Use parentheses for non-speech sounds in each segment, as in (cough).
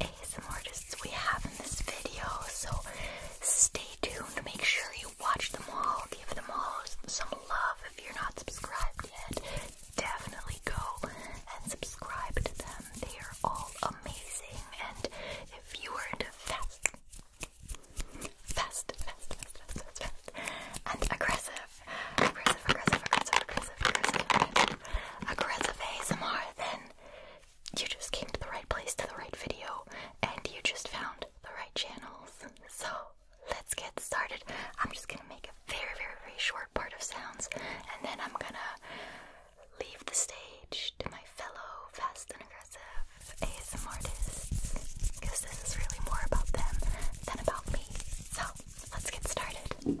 amazing artists we have in this video. So stay tuned. Make sure you watch them all. Give them all some love. If you're not subscribed yet, definitely go and subscribe to them. They are all amazing. And if you were to fast, fast, fast, fast, fast, fast, fast, and aggressive, aggressive, aggressive, aggressive, aggressive, aggressive, aggressive, aggressive ASMR, then you just came to the right place to the right video and you just found the right channels. So let's get started. I'm just gonna make a very, very, very short part of sounds and then I'm gonna leave the stage to my fellow fast and aggressive ASM artists because this is really more about them than about me. So let's get started.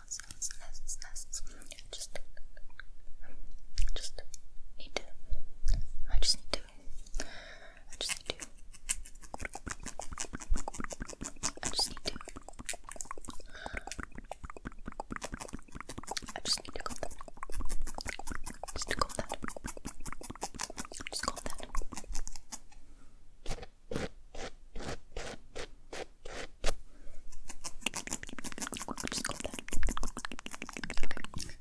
just, just need to. I just need to. I just need to. I just need to. I just need to calm that. Just to calm that. Just calm that. Just go there. Okay. Let's get to the pudding.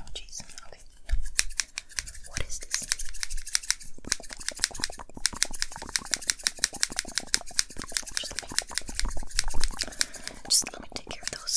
Oh jeez. Okay. No. What is this? Just let me, just let me take care of those.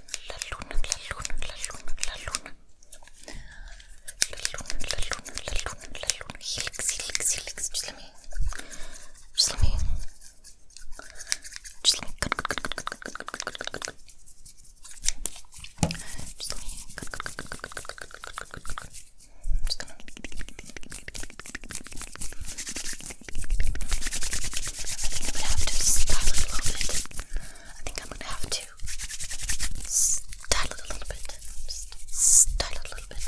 es la luna, la luna, la luna, la luna. La luna, la luna, la luna, la luna. Helix, helix, helix. Just let me. Just let me. Just let me. Cut, cut, cut, cut, cut, cut, cut, cut, cut, cut. Just let me. Cut, cut, cut, cut, cut, cut, cut, cut, cut, cut. I'm just gonna. I think I'm gonna have to style it a little bit. I think I'm gonna have to style it a little bit. Style it a little bit.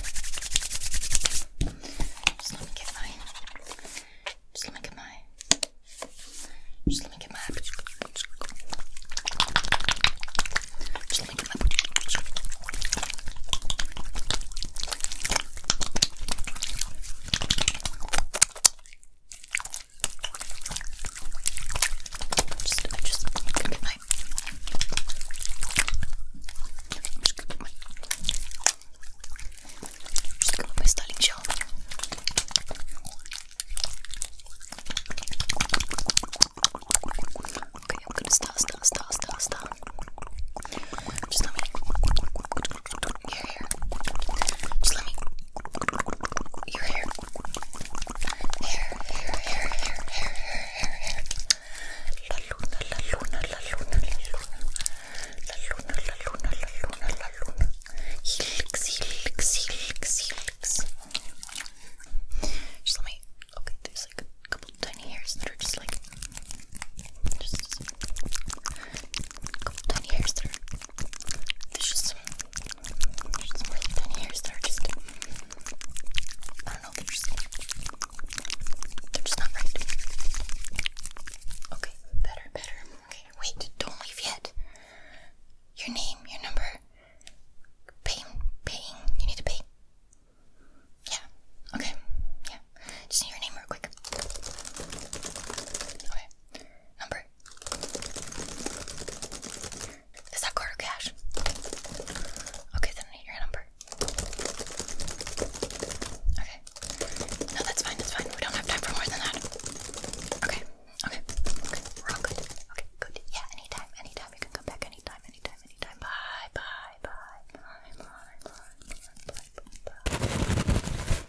Just let me get my. Just let me get my. Just let me get my. Just let me get my just, I'm just gonna get my, I'm just gonna get my, I'm just gonna get my styling gel. Okay, I'm gonna start, start, start, start, start. Just let me. Your hair. Just let me. Your hair. Hair, hair, hair, hair, hair, hair, hair, hair. La luna, la luna, la luna, la luna. La luna, la luna, la luna, la luna. Helix, helix, helix, helix. Just let me. Okay, there's like a couple tiny hairs that are just like. Just. just couple tiny hairs that are there's just some, really thin hairs that just, I don't know, they're just, they're just not right. Okay, better, better. Okay, wait, don't leave yet. Your name, your number. Paying, paying. You need to pay. Yeah. Okay. Yeah. Just need your name real quick. Okay. Number. Is that quarter cash? Okay, then I need your number. Okay. No, that's fine, that's fine. We don't have time for more than that. Okay, okay, okay. Okay, Yeah, anytime, anytime. You can come back anytime, anytime, anytime. bye, bye, bye, bye, bye, bye, bye. bye.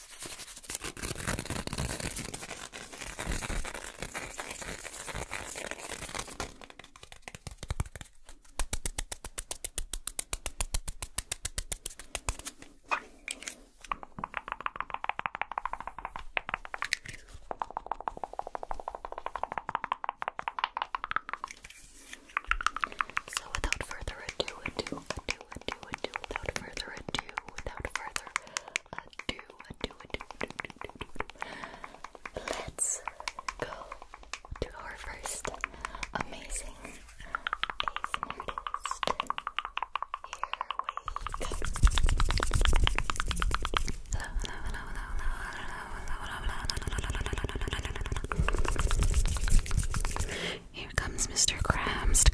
So without further ado, ado, ado, ado, ado, without further ado, without further Let's go to our first amazing ASMR artist. Here Here comes Mr. Krabs.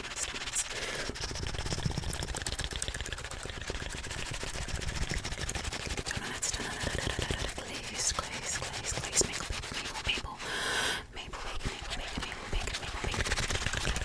Thomas, Thomas. Donuts, donuts. Glaze, glaze, glaze, glaze. Maple, maple, maple. Maple, bacon, maple, bacon, maple, bacon, maple, bacon.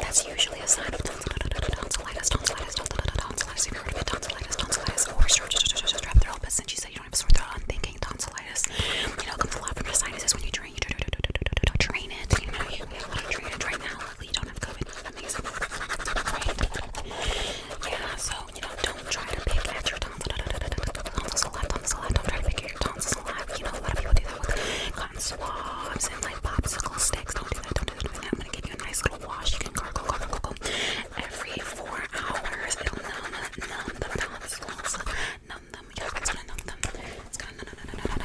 that's usually a sign of tonsillitis, tonsillitis, tonsillitis, Have you heard of it? Tonsillitis, tonsillitis, or strep throat. But since you said you don't have sore throat, I'm thinking tonsillitis. You know, it comes a lot from your sinuses when you You drain it. You know, you have a lot of Luckily, you don't have COVID. Amazing, right? Yeah. So you know, don't try to pick at your tonsils a lot, tonsils a lot. Don't try to figure your tonsils a lot. You know, a lot of people do that with cotton swabs and like popsicle sticks. Don't do that. Don't do that. Don't do that. I'm gonna give you a nice little wash. You can gargle, gargle, gargle every four hours. It'll numb, numb the tonsils. Numb them. Yeah, it's gonna numb them. It's gonna numb, numb,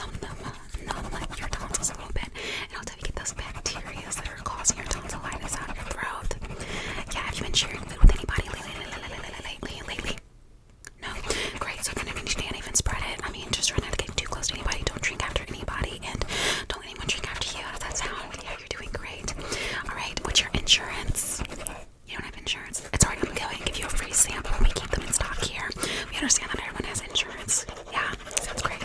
numb, numb, numb your tonsils a little bit. And I'll tell you, get those bacteria that are causing your tonsillitis out of your throat. Yeah, have you been sharing food with anybody lately? lately, lately, lately, lately, lately? No? Great, so kind of you can't even spread it. I mean, just try not to get too close to anybody. Don't drink after anybody, and don't let anyone drink after you. How does that you're doing great. Alright, what's your insurance? You don't have insurance? It's alright, I'm going to give you a free sample. We keep them in stock here. We understand that everyone has insurance. Yeah, sounds great.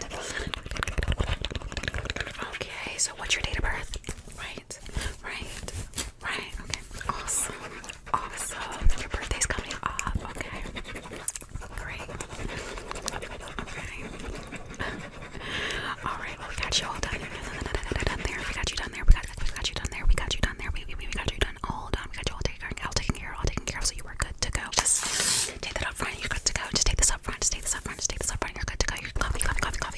Okay, so what's your date of birth? Right, right, right. Okay, awesome. Awesome. Your birthday's coming up. Okay. Great. Okay. Alright, well, we got you all done. done there. We got you done there. We got, we got you done there. We got you done there. We, we, we got you done all done. We got you all taken care of. All taken care of. All taken care of. So you were good to go. Just take that up front. You're good to go. Just take this up front. Just take this up front. Just take this up front. You're good to go. You're comfy, comfy, comfy,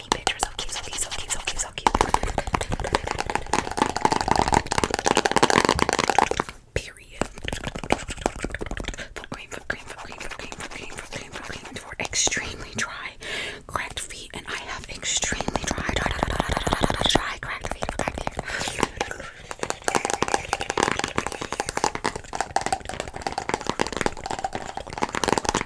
funny picture. So cute, so cute, so cute, so cute, so cute. Period. Foot cream, foot cream, foot cream, foot cream, foot cream, foot cream, foot cream. For extremely dry, cracked feet, and I have extremely dry, dry, dry, dry, dry, dry, dry, dry cracked feet, cracked feet.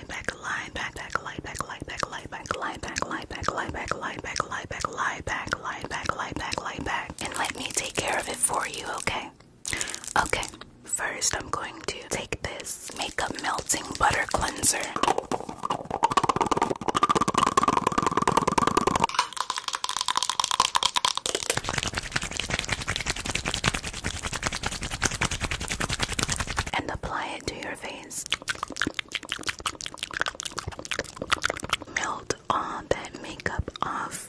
lie back, lie back, lie back, lie back, lie back, lie back, lie back, lie back, lie back, lie back, lie back, lie back, lie back, lie back, and let me take care of it for you, okay? Okay. First, I'm going to take this makeup melting butter cleanser and apply it to your face. Melt all that makeup off.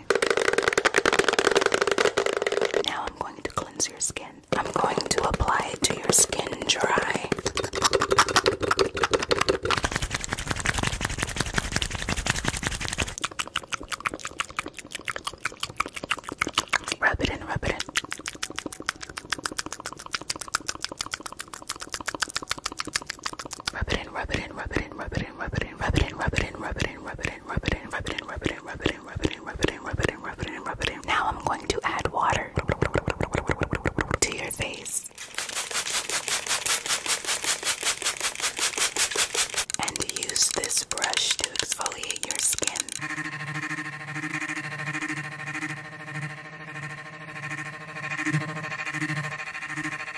Okay. Now I'm going to cleanse your skin. I'm going to apply it to your skin dry. Rub it in, rub it in. Rub it in, rub it in, rub it in, rub it in in, rub it in, rub it in, rub it in, rub it in, rub it in, rub it in, rub it in, rub it in, rub it in, rub it in, rub it in, rub it in, rub it in, rub it in. Now I'm going to add water to your face. And use this brush to exfoliate your skin.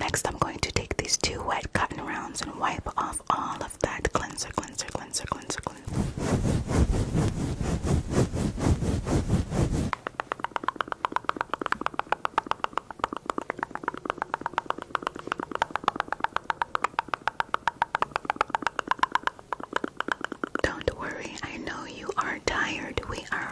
Next, I'm going to take these two wet cotton rounds and wipe off all of that cleanser, cleanser, cleanser, cleanser, cleanser. Don't worry, I know you are tired. We are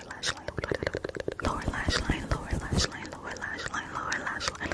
lower lash line, lower lash line, lower lash line, lower lash line, lower lash line.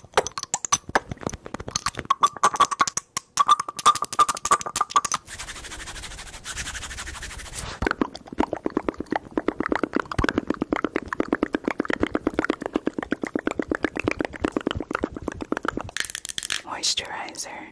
Moisturizer.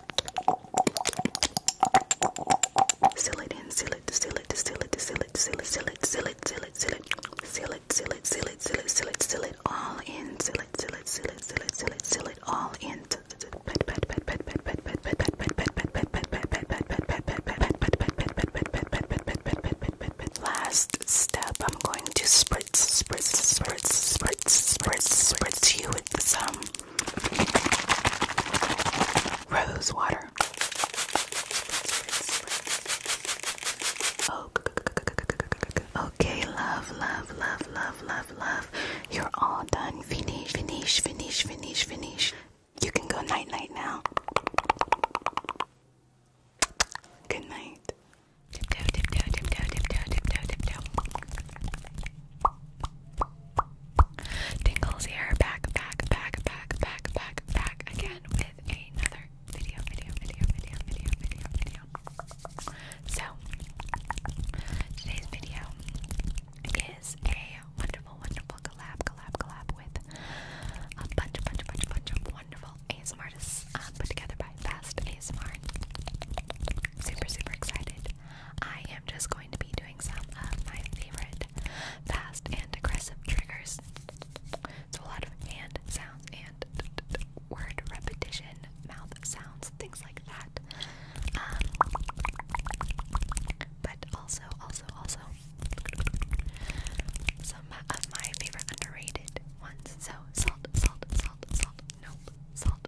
Seal it in, seal it, seal it, seal it, seal it, seal it, seal it, seal it, seal it, seal it, seal it, seal it, seal it, seal it, seal it, seal it, all in, seal it, seal it, seal it, seal it, seal it, seal it, all in. Last step, I'm going to spritz, spritz, spritz, spritz, spritz, spritz you with some Rose water. okay, love, love, love, love, love, love. You're all done. Finish, finish, finish, finish, finish. You can go night night now. Good night. Tingles here, back, back, back, back, back, back, back again with another video, video, video, video, video, video, video. So, today's video is a wonderful, wonderful collab, collab, collab with a bunch, bunch, bunch, bunch of wonderful ASMR artists um, put together by Fast ASMR. Super, super excited. I am just going to be doing some of my favorite fast and aggressive triggers. So a lot of hand sounds and word repetition, mouth sounds, things like that. Um, but also, also, also, some of my favorite underrated ones. So, salt, salt, salt, salt, nope, salt,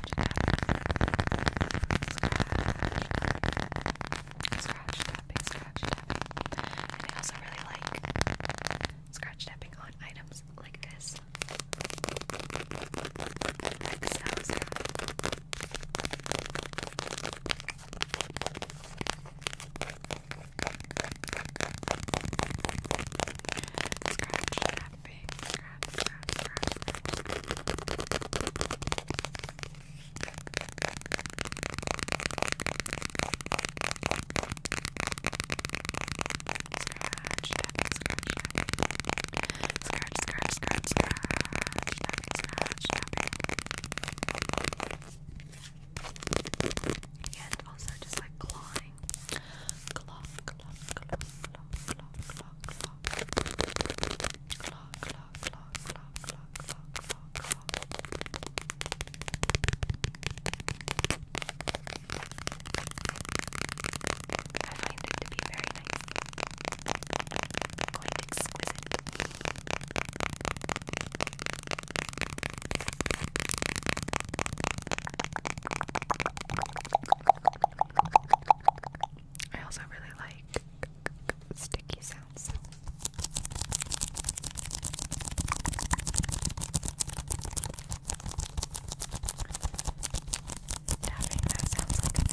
scratch, scratch tapping, scratch tapping. And I also really like scratch tapping on items like this. Like sounds Scratch, scratch, Grabbing, grab, grab, grab. Scratch, tapping, scratch, tapping. Scratch, scratch, scratch, scratch. Tapping, scratch, tapping. And also just like clawing. Claw, claw, claw, claw, claw, claw clock, clock, clock, clock, clock, clock, clock, clock, clock, clock. I find it to be very nice, quite exquisite. I also really like sticky sounds. Tapping that sounds like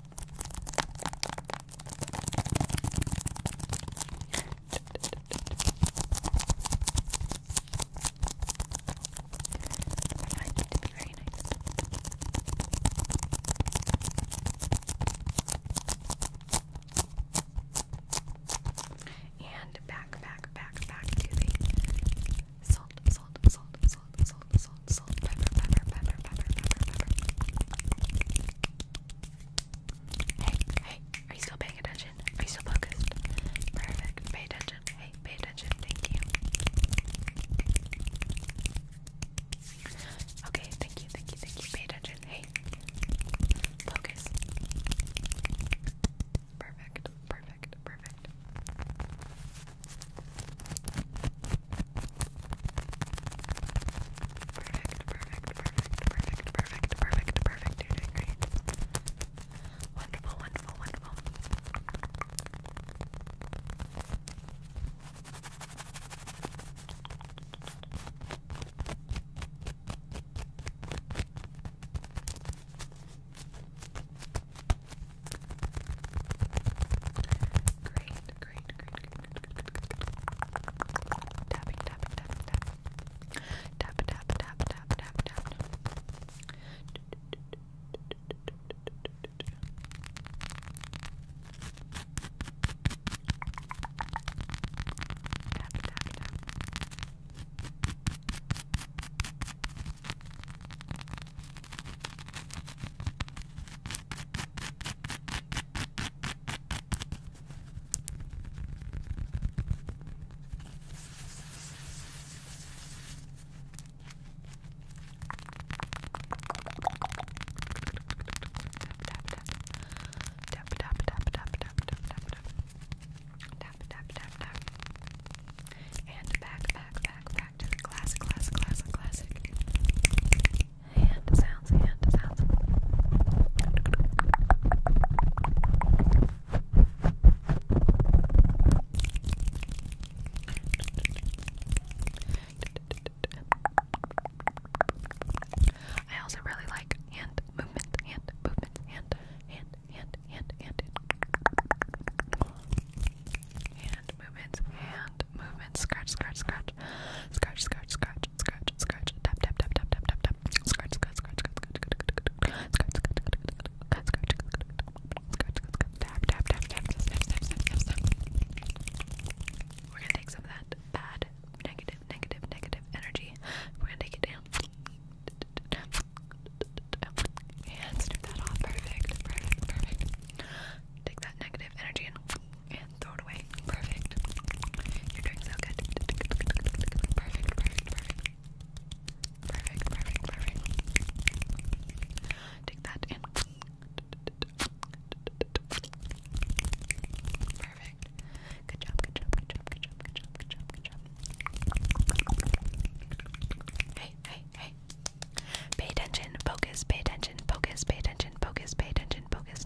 I find it to be very nice. And back, back, back, back to the salt, salt, salt, salt, salt, salt, salt, pepper, pepper, pepper, pepper, pepper, pepper. Hey, hey, are you still paying attention? Are you still focused? Perfect. Pay attention. Hey, pay attention. Thank you. Okay, thank you, thank you, thank you. Pay attention. Hey, focus. Perfect, perfect, perfect. Perfect, perfect, perfect, perfect, perfect, perfect, perfect. You're doing great. Wonderful, wonderful, wonderful. Great, great, great, great, great, good, good, good, good. Tapping, tapping, tapping, tapping. Tap, tap, tap, tap, tap, tap. Tap, tap, tap. Tap, and back, back, back, back to the classic, classic, classic, classic hand sounds, hand sounds. I also really like hand movement, hand movement, hand, hand, hand, hand, hand, hand movements, hand movements, scratch, scratch, scratch, scratch, scratch, scratch, scratch, scratch, tap, tap, tap, tap, tap, tap, tap, scratch, scratch, scratch, scratch, scratch, scratch, scratch, tap, tap, tap, tap, tap, tap, tap, tap. We're gonna take some of that bad, negative, negative, negative energy. We're gonna take it down. And snip that off. Perfect, perfect, perfect. Take that negative energy and and throw away. Perfect. You're doing good. Perfect, perfect, perfect. Perfect, perfect, perfect. Take that in. Perfect. Good job, good job, good job, good job, good job, good job, good job. Hey, hey, hey. Pay attention, focus, pay attention, focus, pay attention, focus, pay attention, focus.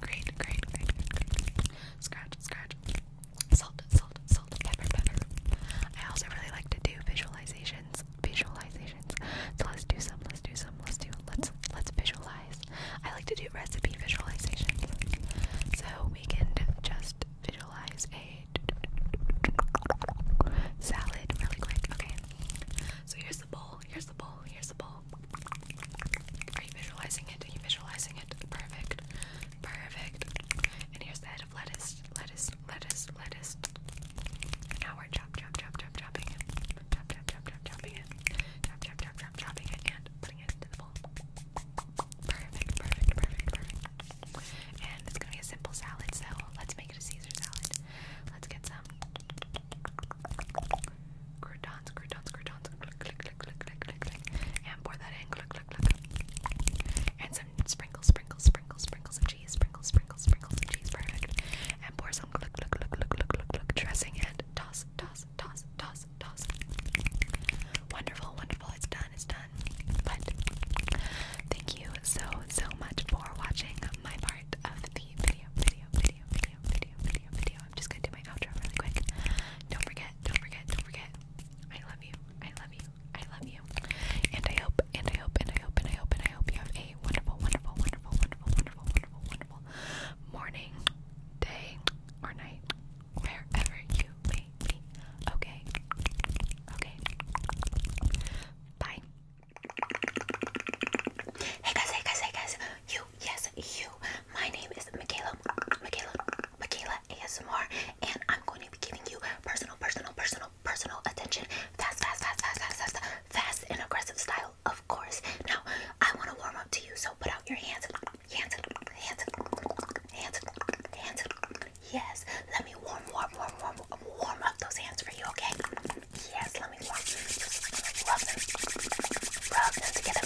Great, great, great, Scratch, scratch. Salt, salt, salt, pepper, I also really like to do visualizations. Visualizations. So let's do some, let's do some, let's do let's let's visualize. I like to do recipe visualizations. So we can just visualize a salad really quick. Okay. So here's the bowl, here's the bowl, here's the bowl. Are you visualizing it? Are you visualizing it? Perfect. Perfect. And here's the head of lettuce, lettuce, lettuce, lettuce. And now we're chop, chop, chop, chop, chopping it. Chop, chop, chop, chop, chopping it. Chop, chop, chop, chop, chopping it and putting it into the bowl. Perfect, perfect, perfect, perfect. And it's gonna be a simple salad, so let's make it a Caesar salad. Let's get some Croutons, croutons, croutons. Click, click, click, click, click, click, click. And pour that in. Click, click, click. And some sprinkles, sprinkles, sprinkles, sprinkles some cheese. Sprinkles, sprinkles, sprinkles some cheese. Perfect. And pour some click, click, click, click, click, click, click. Dressing and toss, toss, toss, toss, toss. Wonderful, wonderful. It's done, it's done. But thank you so, so much for watching my part part of the video, video, video, video, video, video, video. I'm just gonna do my outro really quick. Don't forget, don't forget, don't forget. I love you. I love you. I love you. And I hope, and I hope, and I hope, and I hope, and I hope you have a wonderful, wonderful, wonderful, wonderful, wonderful, wonderful, wonderful morning, day, or night, wherever you may be. Okay. Okay. Bye. Hey guys, hey guys, hey guys, you, yes, you. My name is Michaela, Michaela, Michaela ASMR, and I'm going to be giving you personal, personal, personal, personal attention. Fast, fast, fast, fast, fast, fast, fast, and aggressive style, of course. Now, I want to warm up to you, so put out your hands, hands, hands, hands, hands. Yes, let me warm, warm, warm, warm, warm up those hands for you, okay? Yes, let me warm. Rub them. Rub them together.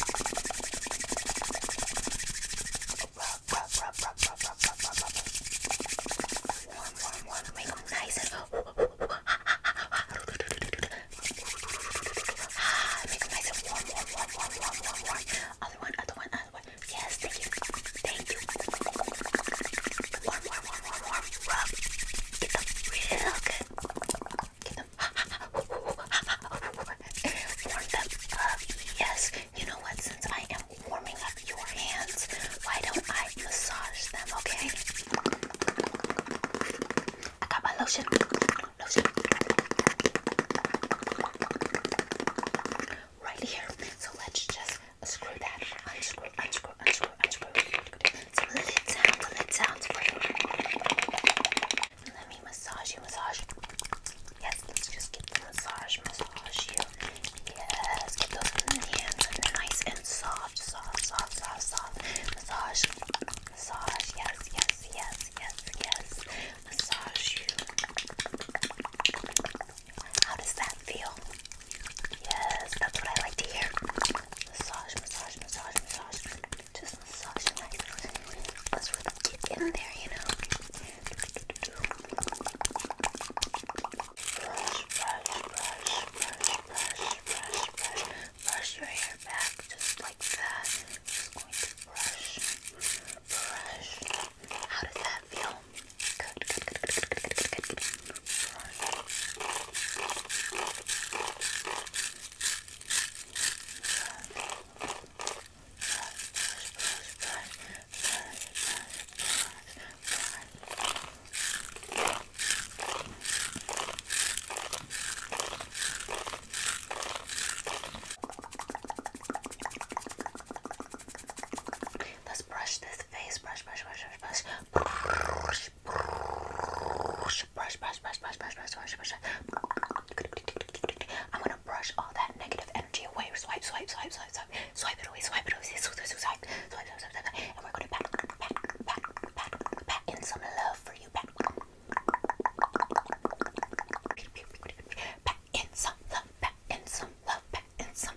Rub, rub, rub, rub, rub, rub, rub, rub, rub. Warm, warm, warm. Make them nice and (laughs) make them nice and warm, warm, warm, warm, warm, warm, warm. Other one, other one, other one. Yes, thank you. Thank you. Warm, warm, rub, get them real good. Get them. Warm them up. Yes. You know what? Since I am warming up your hands, why don't I massage them? Okay. I got my lotion. Lotion. Right here. So let's just Screw that. Unscrew, unscrew, unscrew, unscrew. So let it down, let it down for you. Let me massage you, massage. Yes, let's just get the massage, massage you. Yes, get those hands nice and soft, soft, soft, soft, soft. Massage, massage. Yes, yes, yes, yes, yes. Massage you. How does that feel? Yes, that's what I like to hear. Massage, massage, massage, massage. Just massage nicely. Let's really get in there, you know. Brush, brush, brush, brush, brush, brush, brush. Brush your hair back just like that. Just going to brush, brush. How does that feel? Good, good, good, good, good, good, good, good. Let's brush this face. Brush, brush, brush, brush, brush brush, brush, brush, brush, brush, brush, brush, brush, brush. I'm gonna brush all that negative energy away. Swipe, swipe, swipe, swipe, swipe, swipe it away, swipe it away, swipe, swipe, swipe, swipe, swipe, swipe, and we're gonna pat, pat, pat, pat, pat in some love for you, pat, pat in some love, pat in some love, pat in some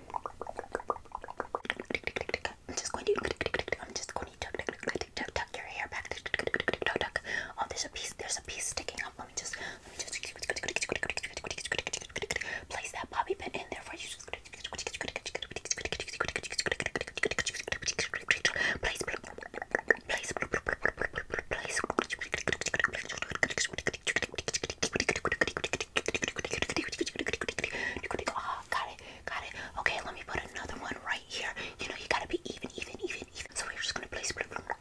I'm just going to. I'm just going to tuck, tuck, tuck, tuck, tuck, tuck your hair back. Tuck, tuck, tuck, tuck, tuck. Oh, there's a piece. There's a piece sticking up. Let me just. Let me just. Place that bobby pin in there for you. Place. Place. Place. Place. Place. Ah, got it, got it. Okay, let me put another one right here. You know, you gotta be even, even, even, even. So we're just gonna place, place, place, place,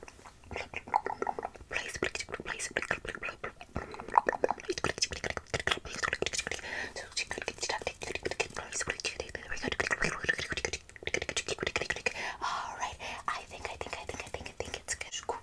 place, Alright, I think, I think, I think, I think, I think it's good. Scoop,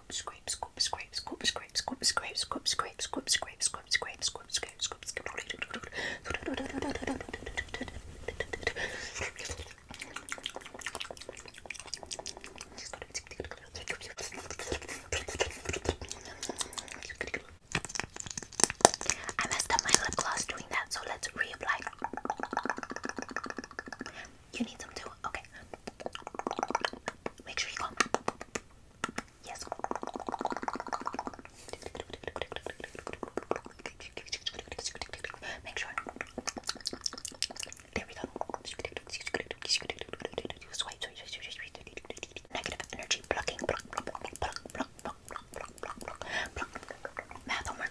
scoop, scrape, scoop, scrape, scoop, scrape, scoop, scrape, scoop, scrape, scoop, scrape, scoop, scrape, scoop, scrape, scoop, scoop, I messed up my lip gloss doing that, so let's reapply. You need some too? Okay. Make sure you come. Yes. Make sure. There we go. Swipe, swipe, swipe, swipe. Negative energy blocking. Block, block, block, block, block, block, block, block, block. Math homework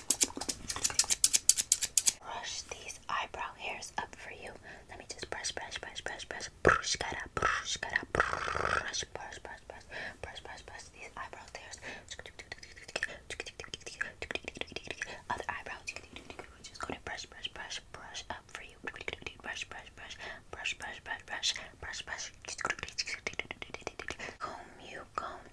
Brush these eyebrow hairs up for you. Let me just brush, brush, brush, brush, brush, brush, gotta brush, gotta brush, brush, brush, brush, brush, brush, brush these eyebrow hairs. Other eyebrows, just gonna brush, brush, brush, brush up for you. Brush, brush, brush, brush, brush, brush, brush, brush, brush. Comb you, comb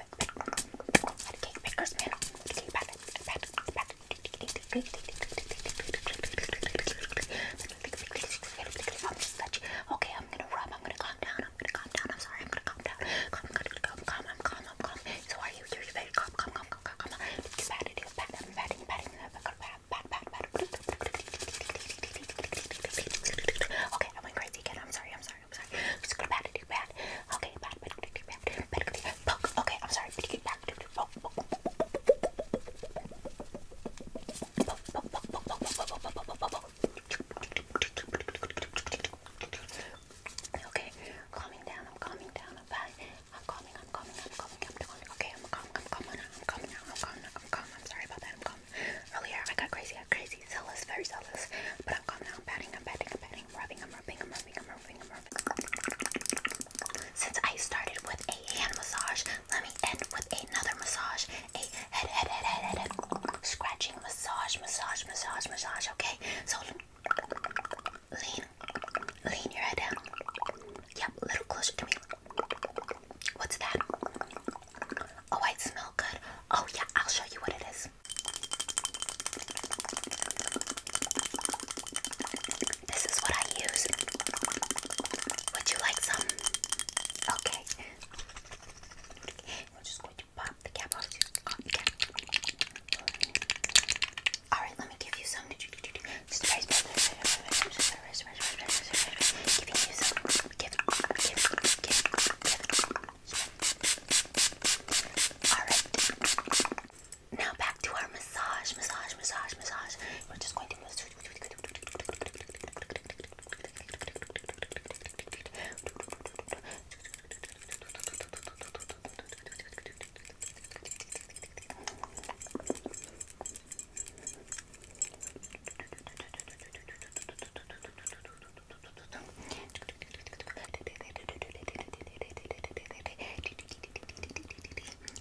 Okay, I'm gonna rub, I'm gonna calm down, I'm gonna calm down, I'm sorry, I'm gonna calm down. Calm, calm, calm, calm, I'm calm, I'm calm. So are you? You're very calm, calm, calm, calm, calm. Just pat it, pat, pat, pat, pat, pat, pat, pat, pat. Okay, I went crazy again. I'm sorry, I'm sorry sorry, I'm sorry. Let's go back to do bad. Okay, bad, bad, bad, bad, bad, bad, bad, poke. Okay, I'm sorry. Bad, bad, bad, poke, poke, poke, poke, poke, poke, poke, poke, poke, Okay, calming down. I'm calming down. I'm fine. I'm calming. I'm calming. I'm calming. I'm calming. Okay, I'm calm. I'm calm. I'm calm now. I'm calm now. I'm calm. I'm calm. I'm sorry about that. I'm calm. Earlier, I got crazy. I got crazy crazy, zealous, very zealous. But I'm calm now. I'm patting, I'm patting, I'm patting, I'm rubbing, I'm rubbing, I'm rubbing, I'm rubbing, I'm rubbing. Since I started with a hand massage, let me end with another massage. A head, head, head, head, head, head. Scratching massage, massage, massage, massage. Okay, so lean, lean your head down. Yep, a little closer to me. What's that? Oh, I smell good. Oh, yeah, I'll show you what it is this. is what I use. Would you like some? Okay. We're just going to pop the cap off. Alright, let me give you some. Alright. Now back to our massage, massage, massage, massage. We're just going to massage.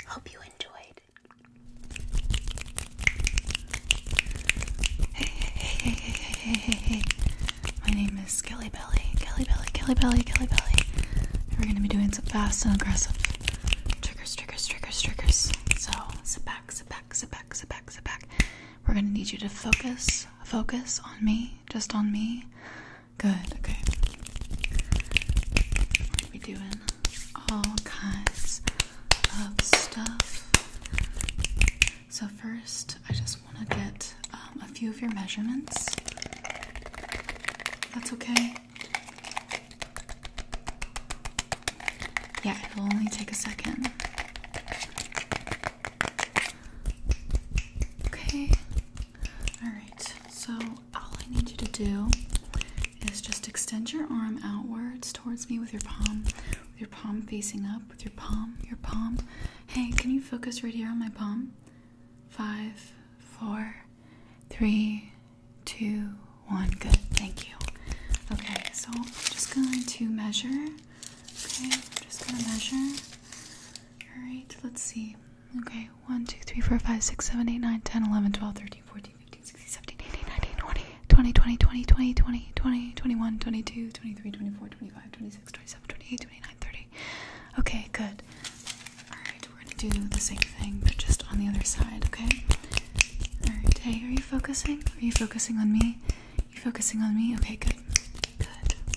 Hope you enjoyed. Hey, hey, hey, hey, hey, hey, hey. My name is Kelly Belly, Kelly Belly, Kelly Belly, Kelly Belly. We're gonna be doing some fast and aggressive triggers, triggers, triggers, triggers. So sit back, sit back, sit back, sit back, sit back. We're gonna need you to focus, focus on me. Just on me? Good, okay. We're doing all kinds of stuff. So, first, I just want to get um, a few of your measurements. That's okay. Yeah, it'll only take a second. Okay. Alright, so all I need you to do is just extend your arm outwards towards me with your palm, with your palm facing up, with your palm, your palm. Hey, can you focus right here on my palm? Five, four, three, two, one. Good, thank you. Okay, so I'm just going to measure. Okay, I'm just gonna measure. All right, let's see. Okay, 1, 2, 3, 4, 5, 6, 7, 8, 9, 10, 11, 12, 13, 14, 15, 16, 17, 18, 19, 20, 20, 20, 20, 20, 20, 21, 22, 23, 24, 25, 26, 27, 28, 29, 30. Okay, good. All right, we're gonna do the same thing, but just on the other side, okay? All right, hey, are you focusing? Are you focusing on me? You focusing on me? Okay, good. Good.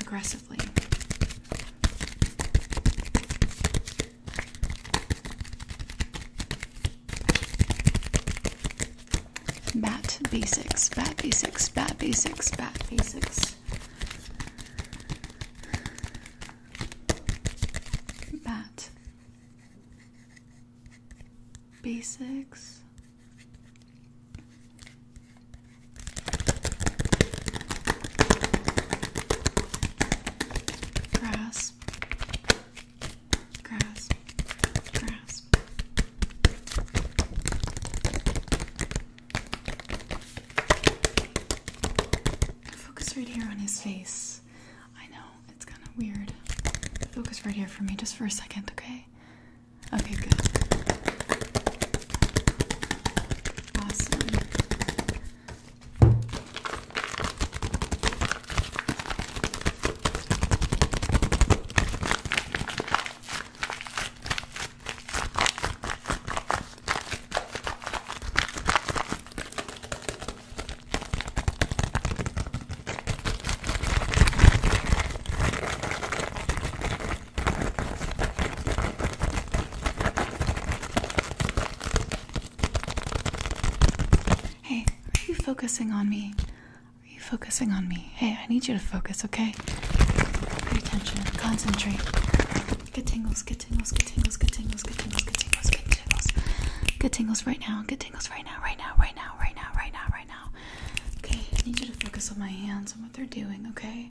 aggressively. Bat basics, bat basics, bat basics, bat basics. Bat basics, Grasp, grasp, grasp. Focus right here on his face. I know it's kind of weird. Focus right here for me just for a second, okay? Okay, good. Awesome. Hey, are you focusing on me? Are you focusing on me? Hey, I need you to focus, okay? Pay attention, concentrate. Get tingles, get tingles, get tingles, get tingles, get tingles, get tingles, get tingles. Get tingles right now, get tingles right now, right now, right now, right now, right now, right now. Okay, I need you to focus on my hands and what they're doing, okay?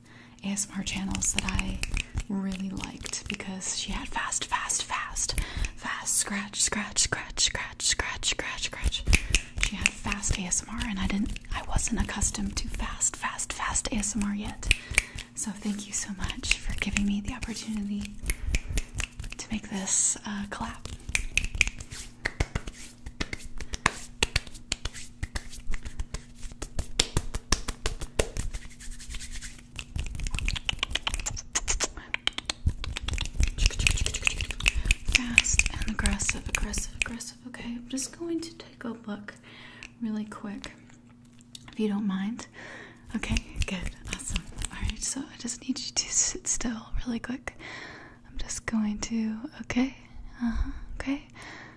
ASMR channels that I really liked because she had fast, fast, fast, fast, scratch, scratch, scratch, scratch, scratch, scratch, scratch. She had fast ASMR, and I didn't, I wasn't accustomed to fast, fast, fast ASMR yet. So thank you so much for giving me the opportunity to make this uh, clap. Fast and aggressive, aggressive, aggressive. Okay, I'm just going to take a look really quick if you don't mind. Okay, good, awesome. Alright, so I just need you to sit still really quick. I'm just going to, okay, uh huh, okay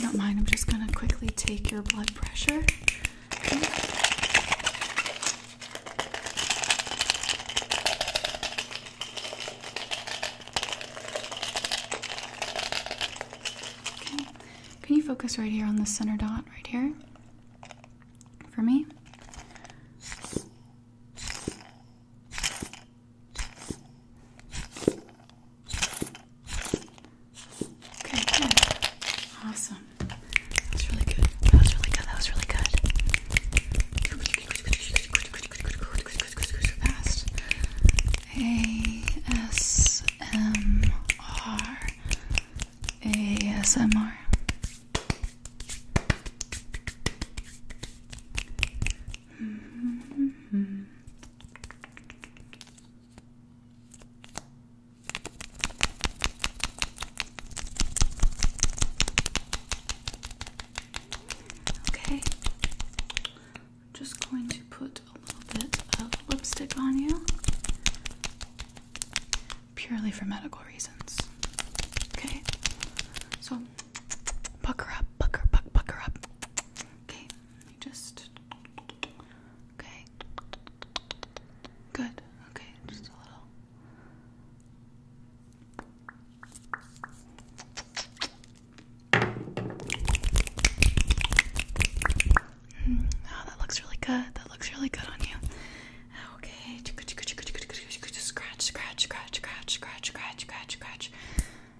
don't mind, I'm just going to quickly take your blood pressure. Can you focus right here on the center dot, right here? For me? Okay, good. Awesome. That was really good. That was really good. That was really good. So fast. A S M R. A S M R. Mm -hmm. Okay. I'm just going to put a little bit of lipstick on you. Purely for medical reasons. Okay. So buck up, buck her, buck, up. Okay. You just okay. Good. Okay, just a little. Mm, oh, that looks really good. That looks really good on you. Okay. scratch, scratch, scratch, scratch, scratch, scratch, scratch,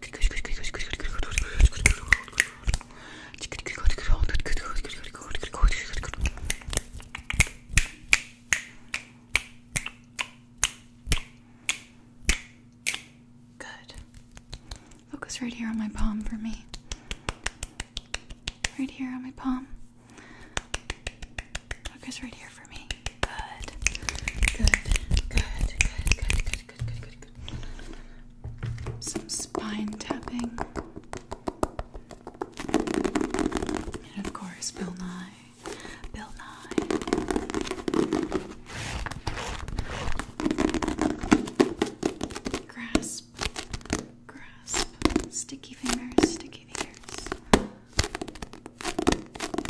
Good. Focus right here on my palm for me. Right here on my palm. Focus right here for me. Good. Good. Good. Good. Good. Good. Some spine tapping. And of course, Bill Nye. Bill Nye. Grasp. Grasp. Sticky fingers, sticky fingers.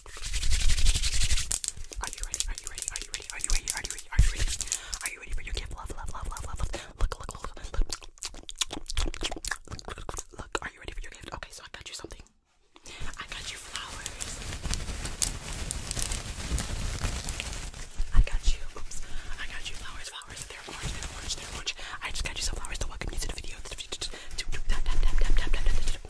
Are you ready? Are you ready? Are you ready? Are you ready? Are you ready? Are you ready? Are you ready for your gift? Love, love, love, love, love, love. Look, look, look, look, look. Look, are you ready for your gift? Okay, so I got you something. I got you flowers. I got you. Oops. I got you flowers, flowers. They're orange, they're orange, they're orange. I just got you some flowers to welcome you to the video. To, to, to, to, tap, tap, tap, tap, tap, tap, tap, tap.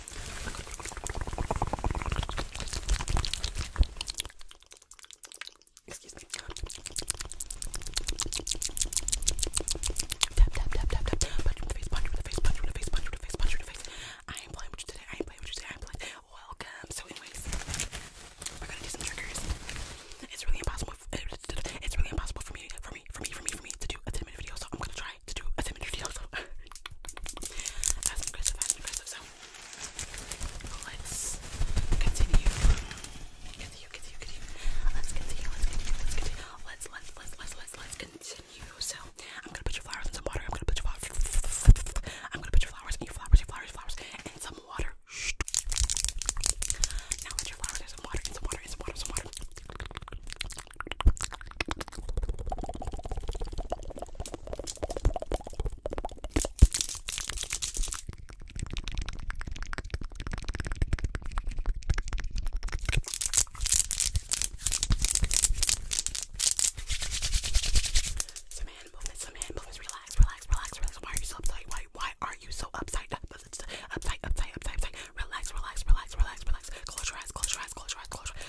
Excuse me. Tap, tap, tap, tap, tap. Punch you punch punch punch punch I ain't playing with you today. I ain't playing with you today. I ain't playing. Welcome. So, anyways, we're gonna do some triggers. It's really impossible. It's really impossible for me for for me, for me, for me to do a 10 minute video. So I'm gonna try to do a 10 minute video. So (laughs) let's continue. Continue, continue, continue. Let's continue, let's continue, let's continue. Let's let's let's let's let's continue. So I'm gonna put your flowers in some water. I'm gonna put your flowers. I'm gonna put your flowers and your flowers, your your flowers, and some water. Now that your flowers, there's some water, and some water, and some water, some water. Some hand movements, some hand movements. Relax, relax, relax, relax. Why are you so uptight? Why, why are you so upside up? Upside, upside, upside, upside. Relax, relax, relax, relax, relax. Close your eyes, close your eyes, close your eyes, close your eyes.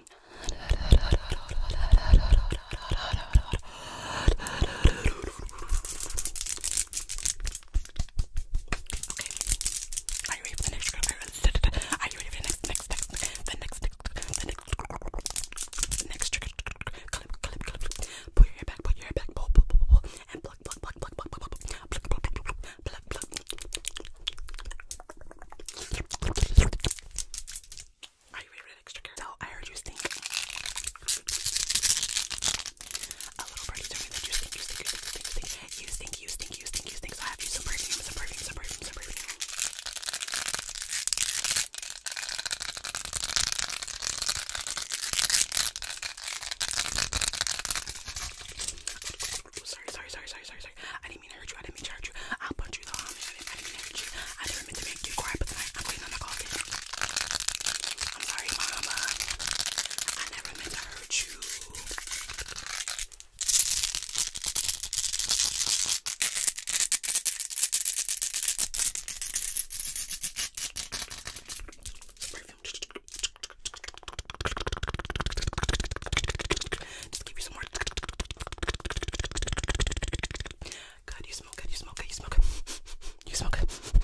Okay. Are you ready for the next group? Are you ready for the next, next, next, the next, next, the next, the next trigger? Clip, clip, clip. Pull your hair back, pull your hair back, pull, pull, pull, pull, and pluck, pluck, pluck, pluck, pluck, pluck, pluck, pluck, pluck, pluck, pluck, pluck. Are you ready for the next trigger? So I heard you stink. A little birdie told me that you stink, you stink, you stink, you stink, you stink, you stink, you stink, you stink, you stink. So I have you some perfume, some perfume, some perfume, some perfume. Sorry, sorry, sorry, sorry, sorry, sorry. I didn't mean to hurt you. I didn't mean to hurt you. I'll punch you no oh, harm. I didn't mean to. I didn't to make you cry, but tonight I'm waiting on the coffee. I'm sorry, Mama. I never meant to hurt you. Just give you some more. Good, you smell good, you smell good, you smell good. You smell good. You smell good.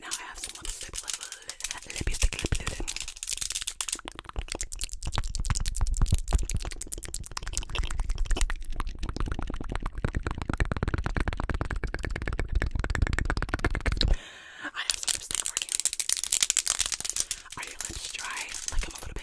Now I have some lipstick, lipstick, lipstick, lipstick. I have some lipstick for you. Are your lips dry? Like I'm a little bit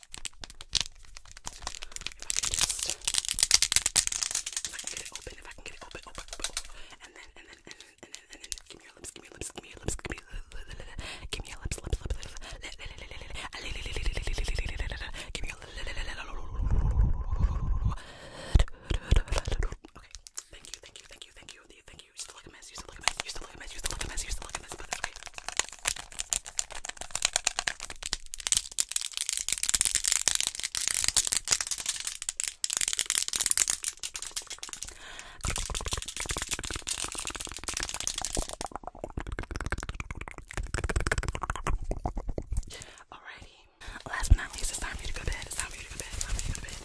If I can just, if I can get it open, if I can get it open, open, open, open. and then, and then, and then, and then, and then, give me your lips, give me your lips, give me your lips, give me, give me your lips, lips, lips, lips, give me your Okay, thank you, thank you, thank you, thank you, thank you. You still look a mess, you still look a mess, you still look a mess, you still look a mess, you still look a mess, but that's okay. Alrighty. Last but not least, it's time for you to go to bed. It's time for you to go to bed. It's time for you to go to bed.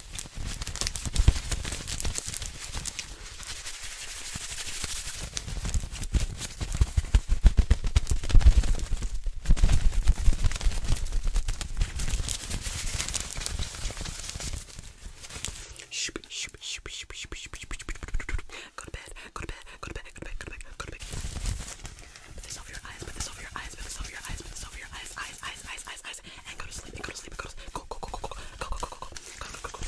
Go to bed, go to bed, go to bed, go to bed, go to bed, go to bed. Put this over your eyes, put this over your eyes, put this over your eyes, put this over your eyes, eyes, eyes, eyes, eyes, eyes guys, and go to sleep, and go to sleep, and go to sleep. Go, go, go, go, go, go, go, go, go, go, go, go, go, go.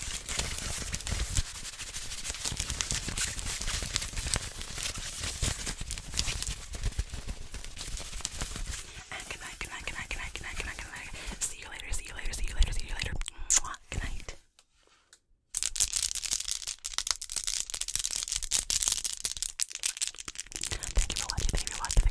And good night, good night, good night, good night, good night, good night, good night. See you later, see you later, see you later, see you later. Mwah, good night. Thank you for watching, thank you for watching,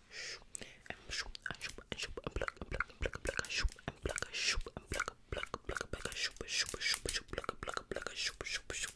and shoop and shoop and shoop and pluck and pluck and pluck and pluck and shoop and pluck and shoop and pluck and pluck and pluck and pluck and shoop and shoop and shoop and shoop pluck and pluck and pluck and shoop and shoop and shoop.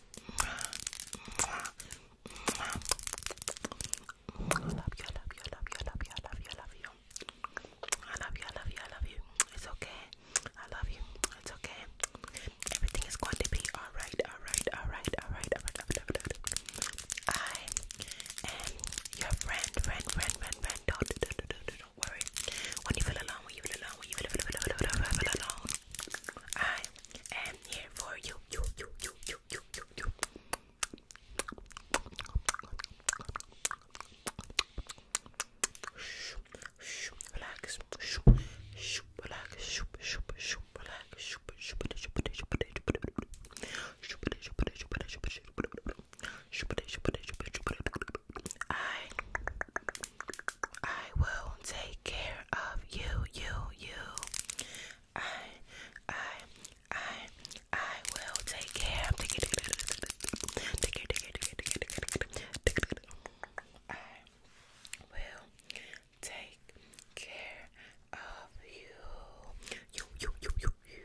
I love you, I love you, I love you, I love you, I love you, I love you. I love you, I love you, I love you. It's okay. I love you. It's okay. Everything is going to be alright, alright, alright, alright, alright, alright, alright. I am your friend, friend, friend, friend, friend. Don't, don't, don't, don't, don't worry. When you feel alone, when you feel alone, when you feel, feel, feel, feel, feel, feel alone, I am here for you, you, you, you, you, you, you, you. Relax, relax, relax, relax. I I will take care of you, you, you. I, I, I, I will take care take care, take care, take care, take care, take care. I will take care of you, you, you, you, you, you.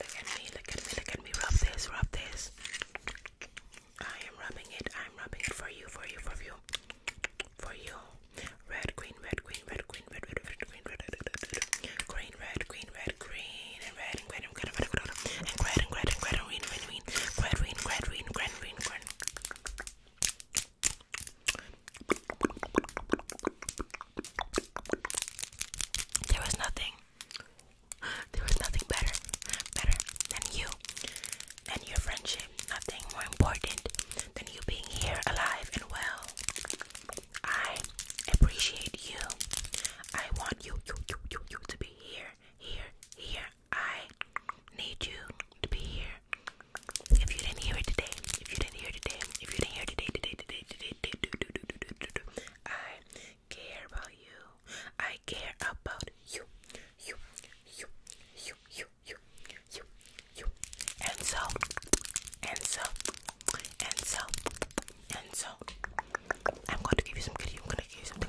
Look at me, look at me, look at me, rub this, rub this. I am rubbing it, I am rubbing it for you, for you, for you, for you. Red, green, red, green, red, green green, red, red, red, green, red, red, red, red, green, red, green, red, green, and red, and red, and red, and red, and red, and red, and red, and green, green, green, red, green, red, green, green, green, green. There was nothing. There was nothing better, better than you and your friendship. Nothing more important than you being here alive and well. I appreciate you. I want you, you, you, you, you to be here, here, here. I need you to be here. If you didn't hear it today, if you didn't hear it today, if you didn't hear it today, today, today, today, today, do, do, do, do, do, do, I care about you. I care about you, you, you, you, you, you, you, you. And so, and so, and so, and so, I'm going to give you some kitty. I'm going to give you something.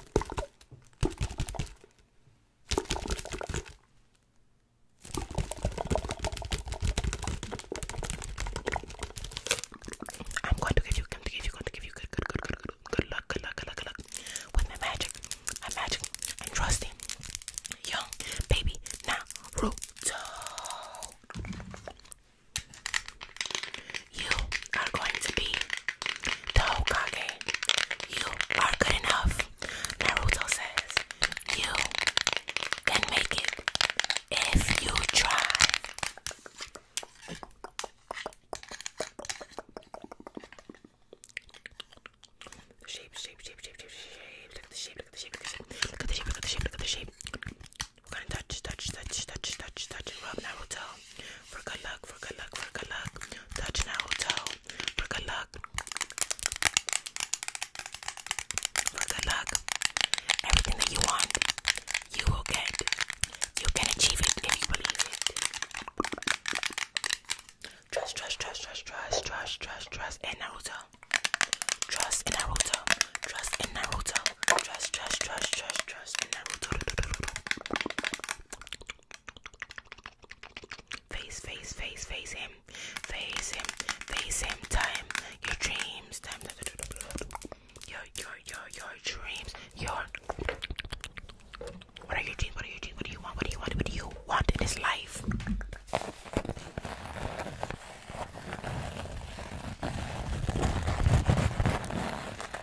I'm going to give you, going to give you, going to give you good, good, good, good, good, good luck, good luck, good luck, good luck with my magic, my magic. and trust trusting, young baby now, Naruto. You are going to be Hokage. You are good enough. Naruto says you can make it if you try. Shape, shape, shape, shape, shape, shape. Look at the shape, look at the shape, look at the shape. Look at the shape, look at the shape, We're gonna touch, touch, touch, touch, touch, touch, rub Naruto for good luck, for good luck, for good luck. Touching our hotel for good luck. For good luck. Everything that you want, you will get. You can achieve it if you believe it. Trust, trust, trust, trust, trust, trust, trust, trust in Naruto. Trust in Naruto. Trust in Naruto now. Trust, trust, trust, trust, trust, and then we'll face, face, face, face him, face him, face him. Time your dreams, time your your your your dreams, your. What are your dreams? What are your dreams? What do you want? What do you want? What do you want in this life?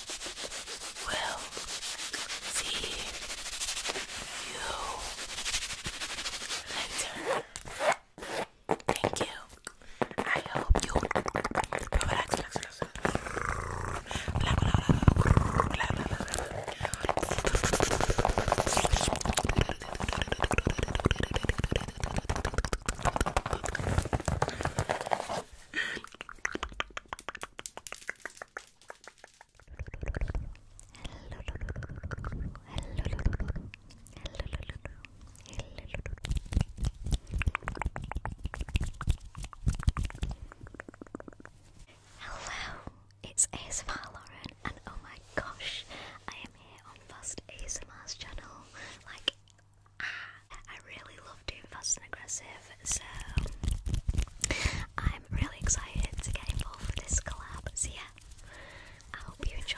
will see you later. Thank you. I hope you relax, relax, Hello, it's ASMR Lauren, and oh my gosh, I am here on Fast ASMR's channel. Like, ah, I really love doing fast and aggressive so I'm really excited to get involved with this collab. So, yeah, I hope you enjoy.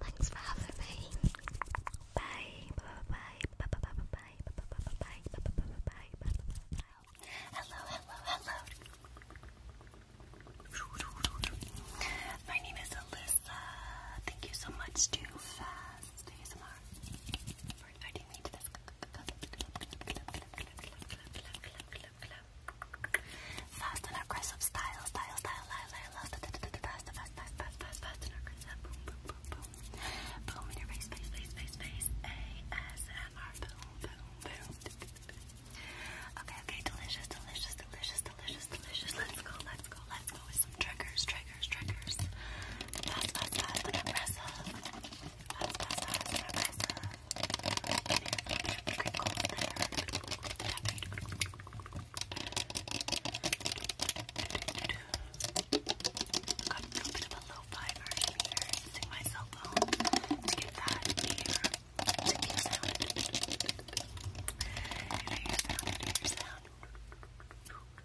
Thanks for having me. Bye. Bye. Bye. Bye. Bye. Bye. Bye. Bye. Bye. Bye. Bye. Bye. Bye. Hello. Hello. Hello. My name is Alyssa. Thank you so much Too Fast ASMR for inviting me to this Fast and aggressive style, style, style, style, fast, fast, fast, fast, fast, fast and aggressive. Boom, boom, boom, boom. Boom in your face, face, face, face, face. ASMR. Boom, boom, boom. Okay, okay, delicious, delicious, delicious, delicious, delicious. Let's go, let's go, let's go with some triggers, triggers triggers, triggers. That's us, us, and impressive. That's us, us, and impressive. Crinkle there. Got a little bit of a lo-fi version here using my cell phone to get that here. To be a sound. And I hear sound, and I hear sound. Ooh,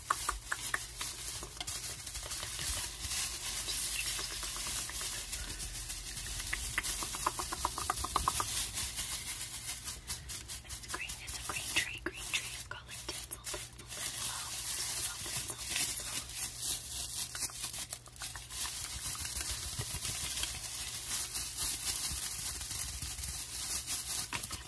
It's green, it's a green tree, green tree of colored tinsel, tinsel, tinsel, tinsel, tinsel, tinsel. I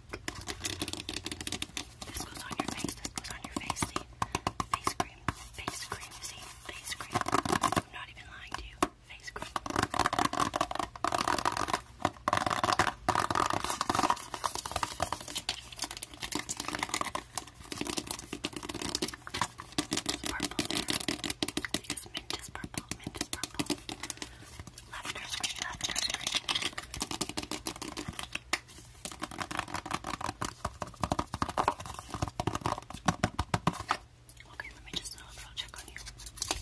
This goes on your face. This goes on your face. See? Face cream. Face cream. See? Face cream. I'm not even lying to you. Face cream. purple. Because mint purple. Mint purple. Lavender is green. Lavender is green. Okay, let me just do a little check on you. Okay.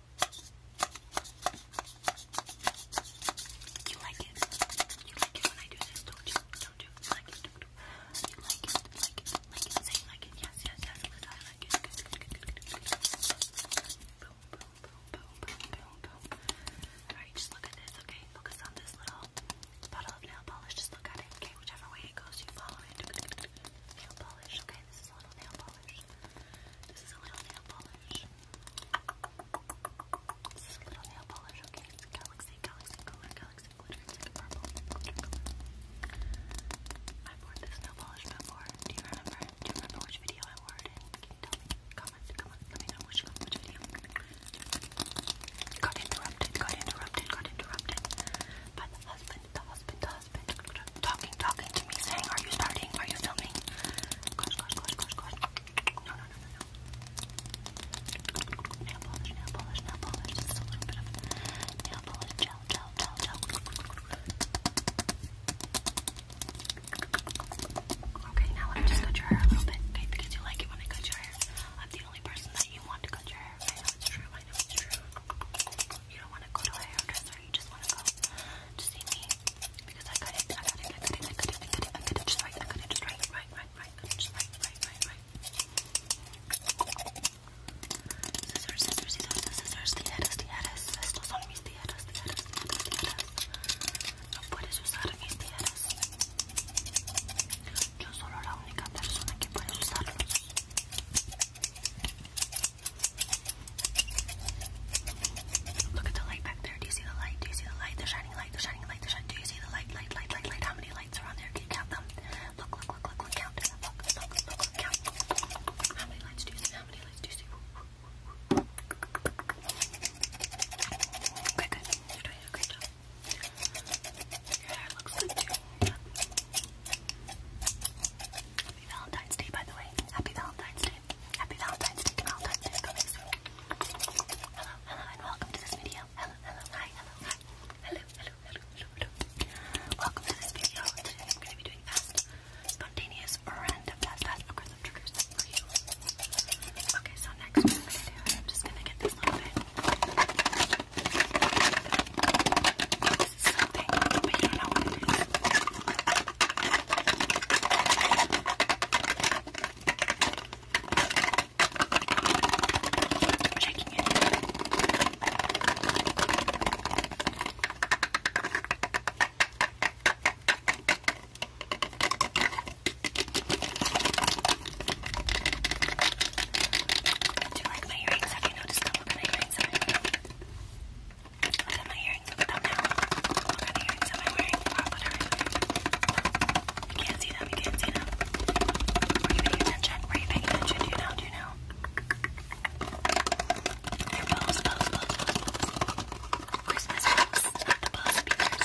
You like it. You like it when I do this, don't you? Don't you? You like it. Don't you? you like it. Like it. Like it. Say like it. Yes, yes, yes. Liz, I like it. Good, good, good, good, good, good. Boom, boom, boom, boom, boom, boom, boom. Alright, just look at this, okay? Focus on this little bottle of nail polish. Just look at it, okay? Whichever way it goes, you follow it. Nail polish, okay? This is a little nail polish. This is a little nail polish. This is little nail polish, okay? It's Galaxy, Galaxy Color, Galaxy Glitter. It's like purple I wore this nail polish before. Do you remember? Do you remember which video I wore it in? Can you tell me? Comment, comment, let me know which video. Got interrupted, got interrupted, got interrupted. By the husband, the husband, the husband talking, talking to me, saying, Are you starting? Are you filming? Gosh, gosh, gosh, gosh, gosh. No, no, no, no, no. polish, nail polish, nail polish. Just a little polish. Gel, gel, gel, gel. Okay, now let me just cut your hair a little bit, okay? Because you like it when I cut your hair. I'm the only person that you want to cut your hair. I know it's true, I know it's true. You don't want to go to a hairdresser, you just want to go to see me. Because I got it, I got it, I got it, I got it, I got it, I got it just right, I got it just right, right, right, right, just right, right, right, right. Scissors, scissors, scissors, scissors, tijeras, tijeras. Estos son mis tijeras, tijeras, tijeras, tijeras. No puedes usar mis tijeras. Yo solo la única persona que puede usarlos. Look at the light back there. Do you see the light? Do you see the light? The shining light, the shining light, the shining. Do you see the light, light, light, light, light? How many lights are on there? Can you count them? Look, look, look, look, count. Look, look, look, look, count. How many lights do you see? How many lights do you see? Okay, good. You're doing a Your hair looks good Happy Valentine's Day, by the way. Happy Valentine's Day. Happy Valentine's Day, Hello, hello, and welcome to this video. Hello, hello, hi, hello, Hello, hello, hello, Welcome to this video. Today I'm going to be doing spontaneous, random, fast, fast, triggers for you. Okay, so next what I'm just going to get this little bit. This is something, but you know Checking it. Do you like my earrings? Have you noticed the look of my earrings? I what are my earrings? Look them now. What kind of earrings am I wearing? Wow, are I You can't see them. You can't see them. Were you paying attention? Were you paying attention? Do you know? Do you know? They're bows, bows, bows, bows, bows. Christmas bows, not the bow speakers.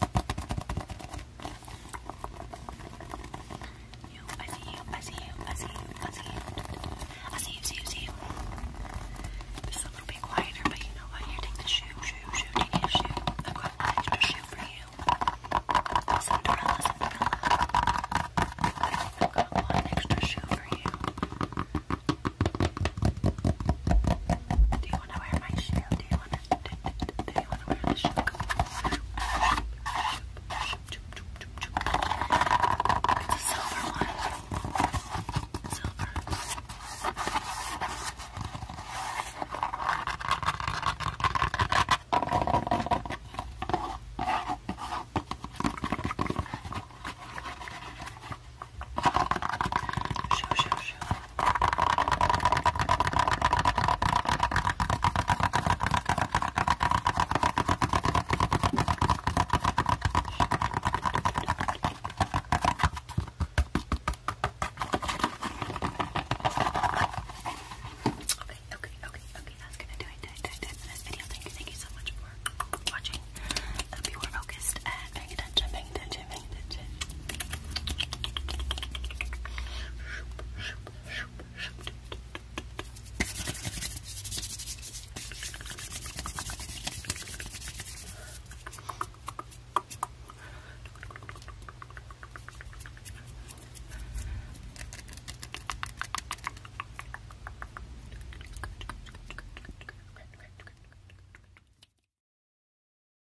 You, I see you, I see you, I see you, I see you. I see you, see you, see you. It's a little bit quieter, but you know what? Here, take the shoe, shoe, shoe, take your shoe. I've got an extra shoe for you. Cinderella, Cinderella. I think I've got one extra shoe for you. Do you want to wear my shoe? Do you want to they want to wear the shook. It's a silver one. Silver. Show, show, show. Okay, okay, okay, okay. That's gonna do it. That's it for this video. Thank you, thank you so much for watching. Hope you were focused and paying attention, paying attention advantage.